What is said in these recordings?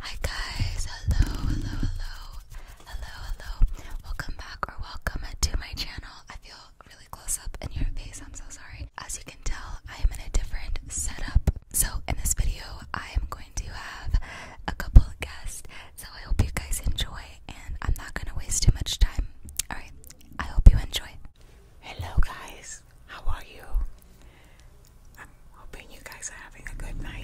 Hi guys, hello, hello, hello, hello, hello. Welcome back or welcome to my channel. I feel really close up in your face, I'm so sorry. As you can tell, I am in a different setup. So in this video, I am going to have a couple of guests. So I hope you guys enjoy and I'm not gonna waste too much time. Alright, I hope you enjoy. Hello guys, how are you? I'm hoping you guys are having a good night.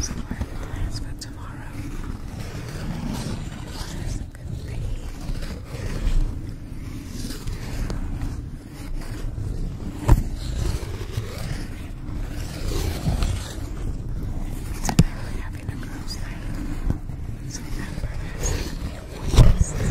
So I have plans for tomorrow. What is it going to be? Tonight we having a girls' night. So remember, that's going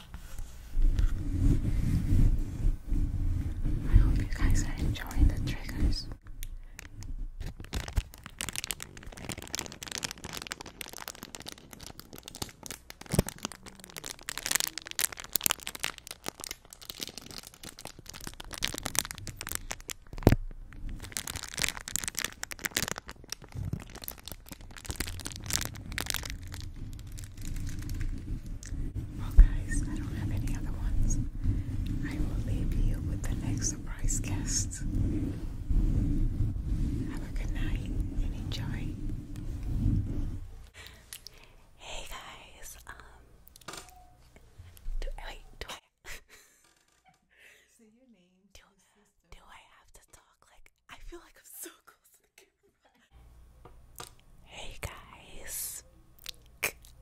I hope you guys are enjoying the triggers. Well, guys, I don't have any other ones. I will leave you with the next surprise guest. Have a good night and enjoy. Hey guys, um, wait, do I have to talk? Like, I feel like I'm so close. Hey guys,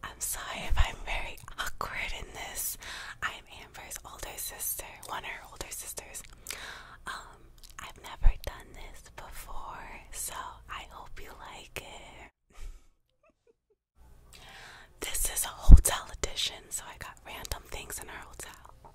I'm sorry if I'm very awkward in this. I'm Amber's older sister, one of her older sisters. Um, I've never done this before, so I hope you like it. this is a hotel edition, so I got random things in our hotel.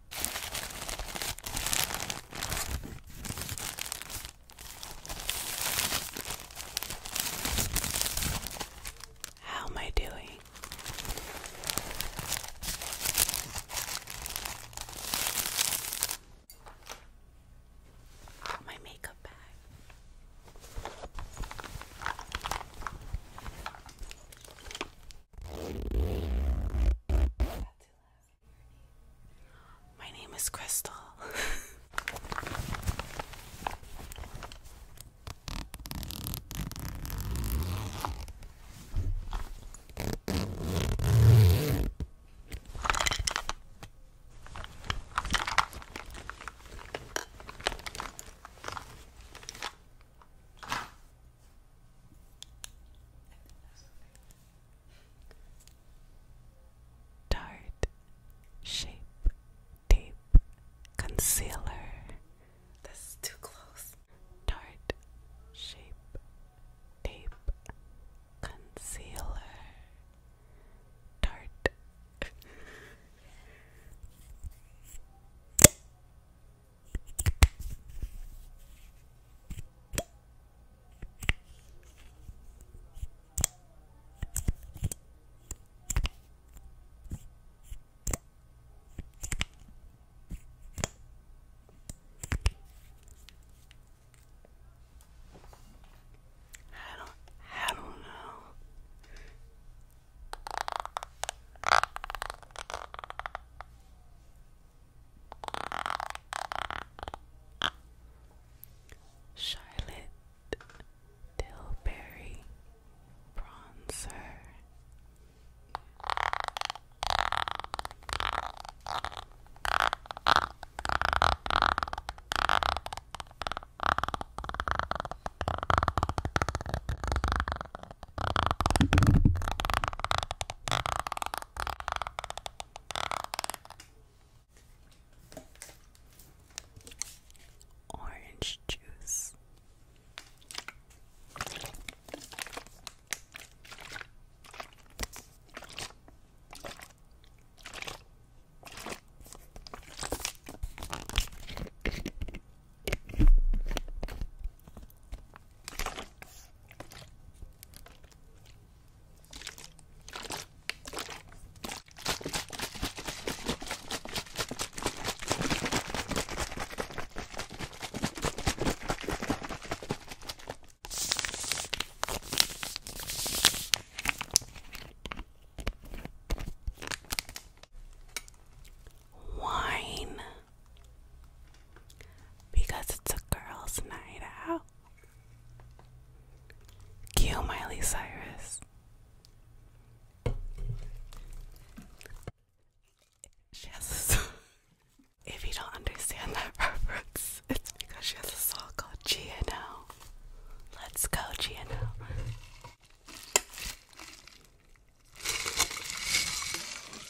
How am I doing? My makeup bag. My name is Crystal. Tart Shape Tape Concealer. This is too close. Tart Shape Tape Concealer. Tart. I don't I don't know. Charlotte Tilbury Bronzer Orange juice. Wine because it's a girls' night out. Cue Miley Cyrus. She has a song. If you don't understand that reference, it's because she has a song called GNO. Let's go, GNO.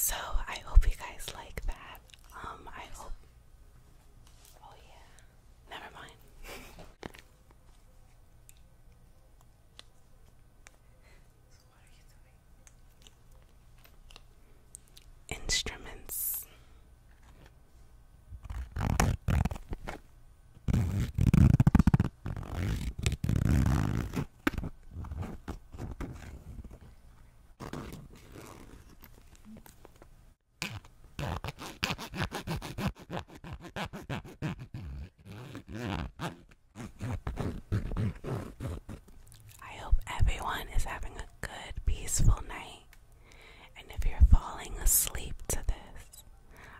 So I hope you guys like that. Um, I hope. Oh yeah. Never mind. Instruments. I hope everyone is having a good, peaceful night. And if you're falling asleep to this,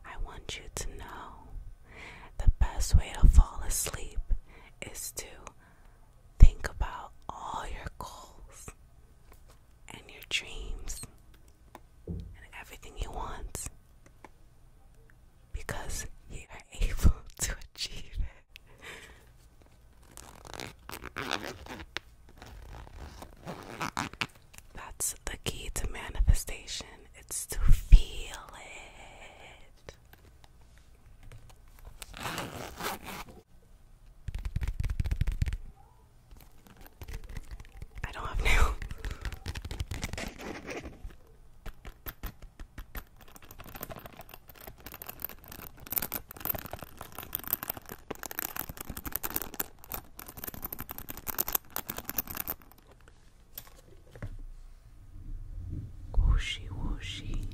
I want you to know the best way to fall asleep is to think about all your goals and your dreams and everything you want because you are able to achieve it. That's the key to manifestation. It's to feel it. I don't have nails. Whooshy whooshy.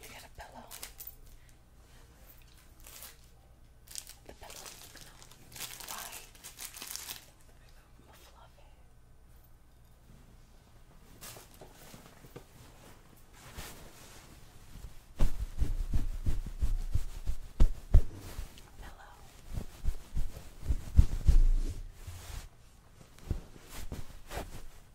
You got a pillow. The pillow. Why? I'm a fluffy. Pillow. Pillow.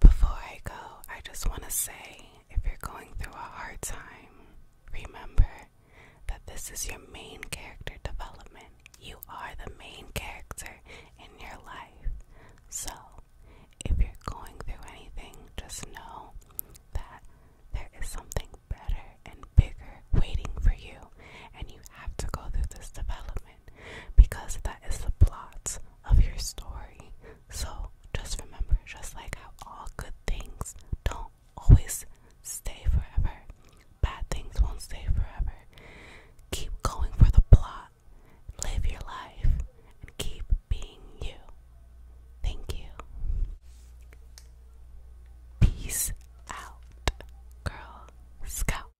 Before I go, I just want to say if you're going through a hard time, remember that this is your main character development. You are the main character in your life. So, if you're going through anything, just know that there is something better and bigger waiting for you, and you have to go through this development because that is the plot of your story. So just remember, just like how all good things don't always stay forever, bad things won't stay forever. Keep going for the plot, live your life, and keep being you. Thank you. Peace out, Girl Scout.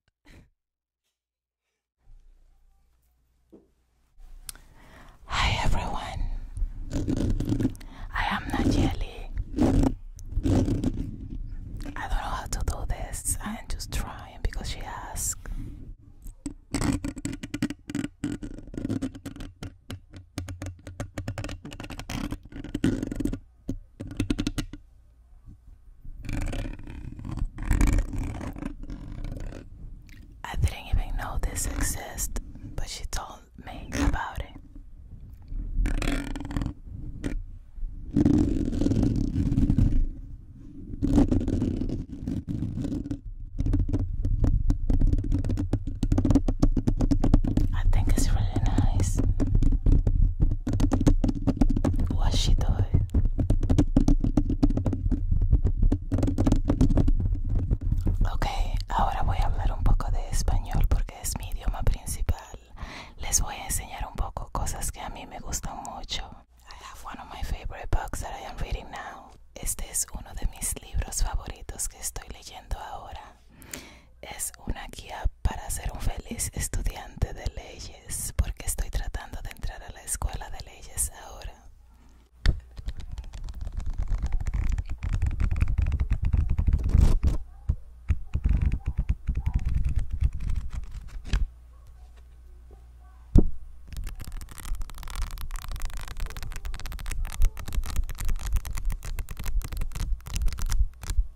Hi everyone. I am Najeli. I don't know how to do this. I am just trying because she asked. I didn't even know this existed, but she told me about it. I think it's really nice. What she doing? Ok, ahora voy a hablar un poco de español porque es mi idioma principal. Les voy a enseñar un poco cosas que a mí me gustan mucho. I Este es uno de mis libros favoritos que estoy leyendo ahora. Es una guía para ser un feliz estudiante de leyes, porque estoy tratando de entrar a la escuela de leyes ahora.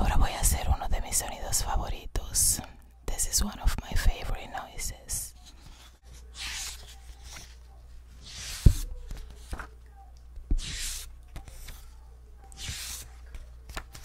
Ahora voy a hacer uno de mis sonidos favoritos. This is one of my favorite noises.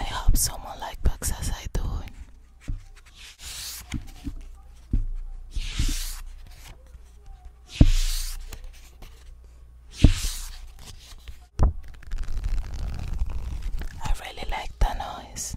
I hope someone like bugs as I do. I really like the noise.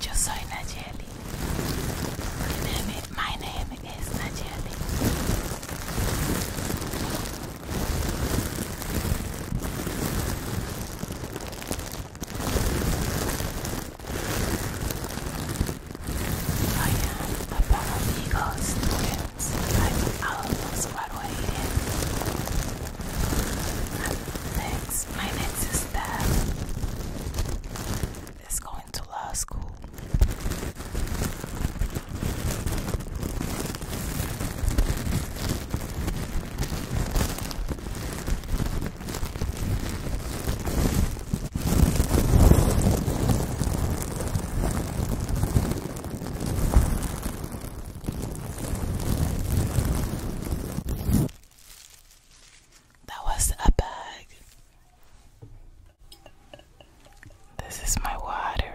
Yo soy Nayeli. My name is, my I am above Eagle students. I'm Alamo Squad waiting. And next, my next sister is going to law school. That was a bag. This is my water.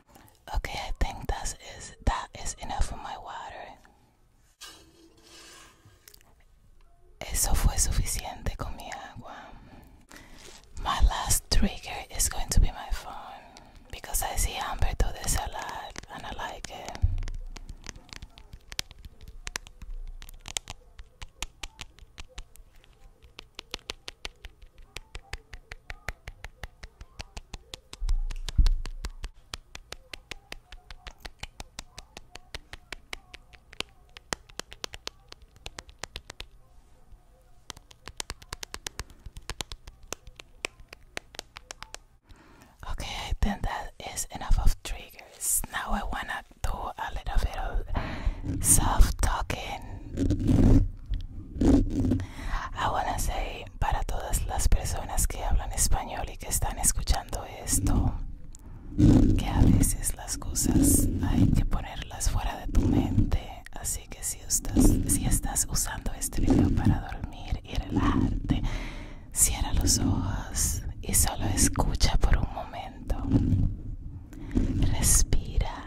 Okay, I think that is that is enough of my water. Eso fue suficiente con mi agua. My last trigger is going to be my phone because I see Amber do this a lot and I like it. Okay, I that is enough of triggers. Now I wanna do a little bit of self talking. I wanna say para todas las personas que hablan español y que están escuchando esto, que a veces las cosas hay que ponerlas fuera de tu mente. Así que si estás, si estás usando este video para dormir y relajarte, cierra los ojos y solo escucha por un momento. Respira.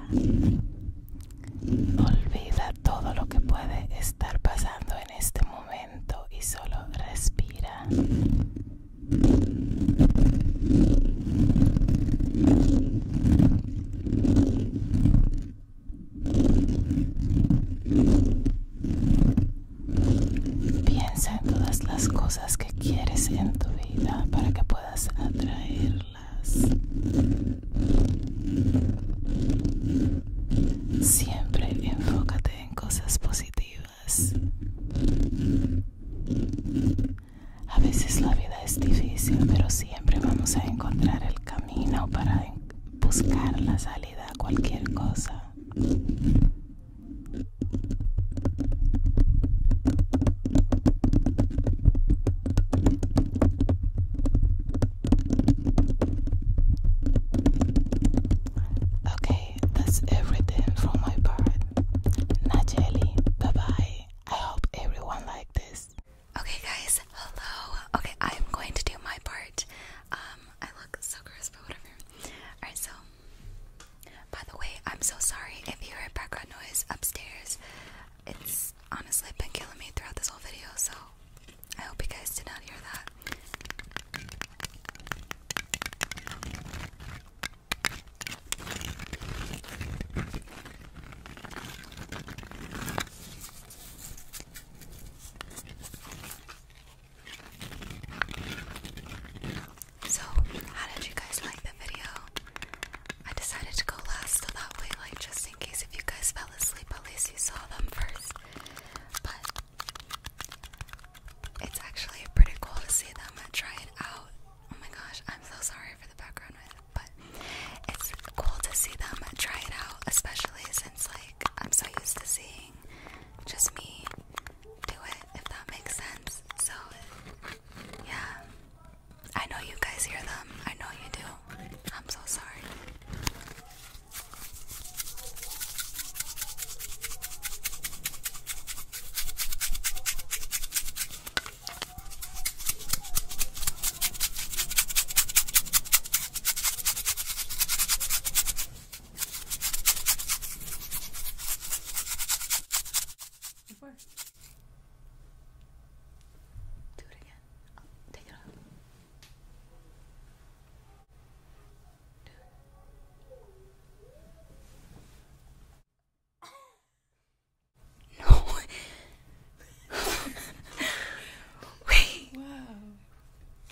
Olvida todo lo que puede estar pasando en este momento y solo respira. Piensa en todas las cosas que quieres en tu vida para que puedas atraerlas. Siempre enfócate en cosas positivas. A veces la vida es difícil, pero siempre vamos a encontrar el camino para buscar la salida a cualquier cosa. Okay, that's everything from my part. Najeli, bye bye. I hope everyone liked this. Okay, guys, hello. Okay, I'm going to do my part. Um, I look so crisp, but whatever. Alright, so by the way, I'm so sorry if you heard background noise upstairs. It's honestly been killing me throughout this whole video, so I hope you guys did not hear that. So, how did you guys like the video? I decided to go last so that way, like, just in case if you guys fell asleep, at least you saw them first. But it's actually pretty cool to see them try it out. Oh my gosh, I'm so sorry for the background noise, but it's cool to see them try it out, especially since like I'm so used to seeing just me do it, if that makes sense. So yeah. I know you guys hear them. I know you do. I'm so sorry. Before. Do it again. I'll take it off. No. Wait.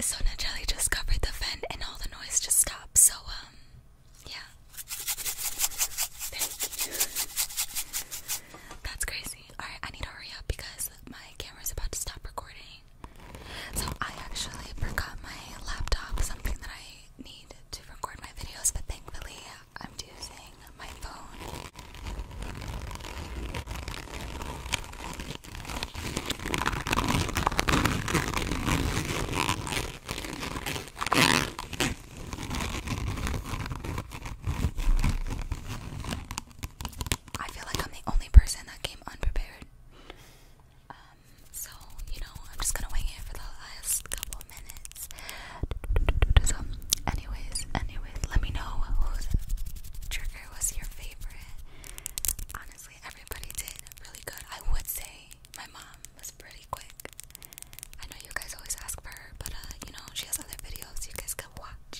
So Natalie just covered the vent and all the noise just stopped. So um yeah. That's crazy. Alright, I need to hurry up because my camera's about to stop recording. So I actually forgot my laptop, something that I need to record my videos, but thankfully I'm using my phone. I feel like I'm the only person that came unprepared. Um, so, you know, I'm just gonna wing it for the last couple minutes. anyways, anyways, let me know whose trigger was your favorite. Honestly, everybody did really good. I would say my mom was pretty quick. I know you guys always ask for her, but uh, you know, she has other videos you guys can watch.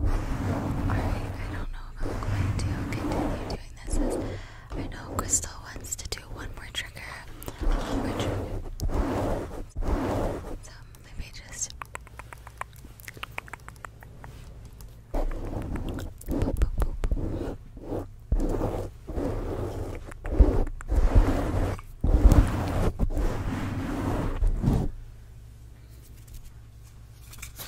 Alright, I don't know if I'm going to continue doing this as I know Crystal wants to do one more trigger. One more trigger. So let me just boop, boop, boop. I'm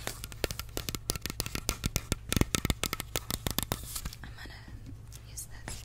gonna use this.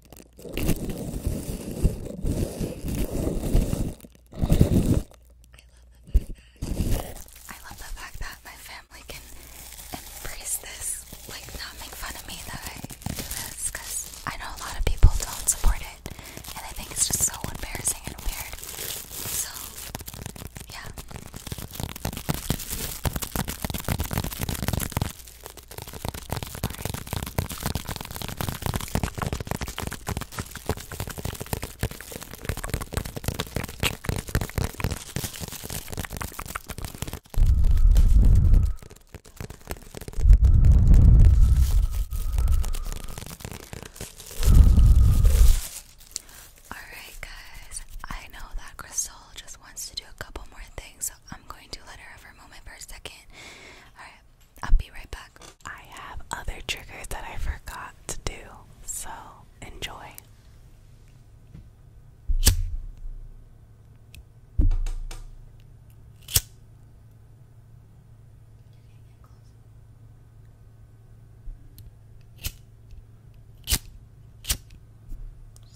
I love the fact that my family can embrace this, like not make fun of me that I do this, because I know a lot of people don't support it, and I think it's just so embarrassing and weird. So, yeah. Alright, guys, I know that Crystal just wants to do a couple more things, I'm going to let her have her moment for a second. Alright, I'll be right back. I have other triggers that I forgot to do, so enjoy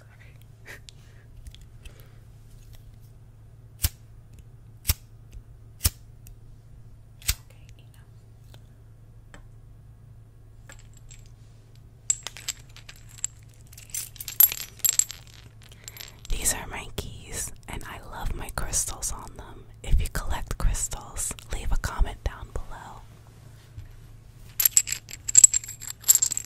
sorry. okay, enough. These are my keys, and I love my crystals on them. If you collect crystals, leave a comment down below.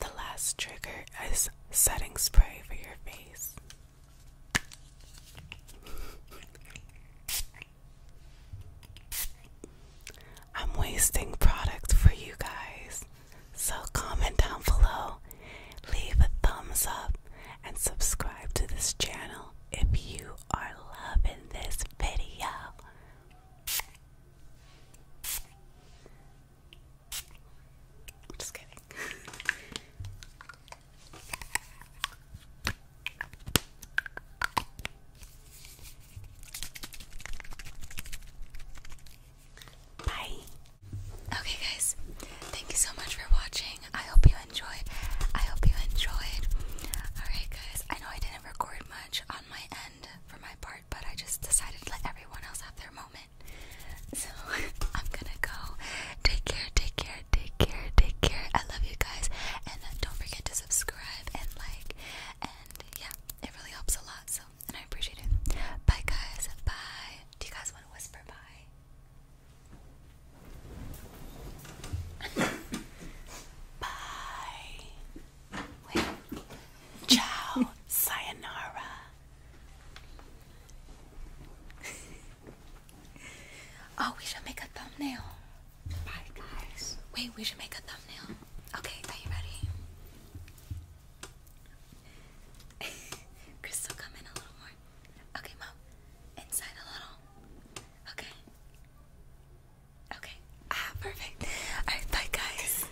The last trigger is setting spray for your face. I'm wasting product for you guys. So comment down below, leave a thumbs up, and subscribe to this channel if you are loving this video. Just kidding. Bye. Okay, guys, thank you so much for watching. I hope you enjoyed. I hope you enjoyed. Alright, guys, I know I didn't record much on my end for my part, but I just decided to let everyone else have their moment. So I'm gonna go. Take care, take care, take care, take care. I love you guys, and uh, don't forget to subscribe and like. And yeah, it really helps a lot. So, and I appreciate it. Bye, guys. Bye. Do you guys want to whisper bye? bye. Ciao. Sayonara. oh, we should make a thumbnail. Bye, guys. Wait, we should make a thumbnail. Okay, are you ready? Crystal, come in a little more. Okay, mom. Inside a little. Okay. Okay. Ah, perfect. bye, guys.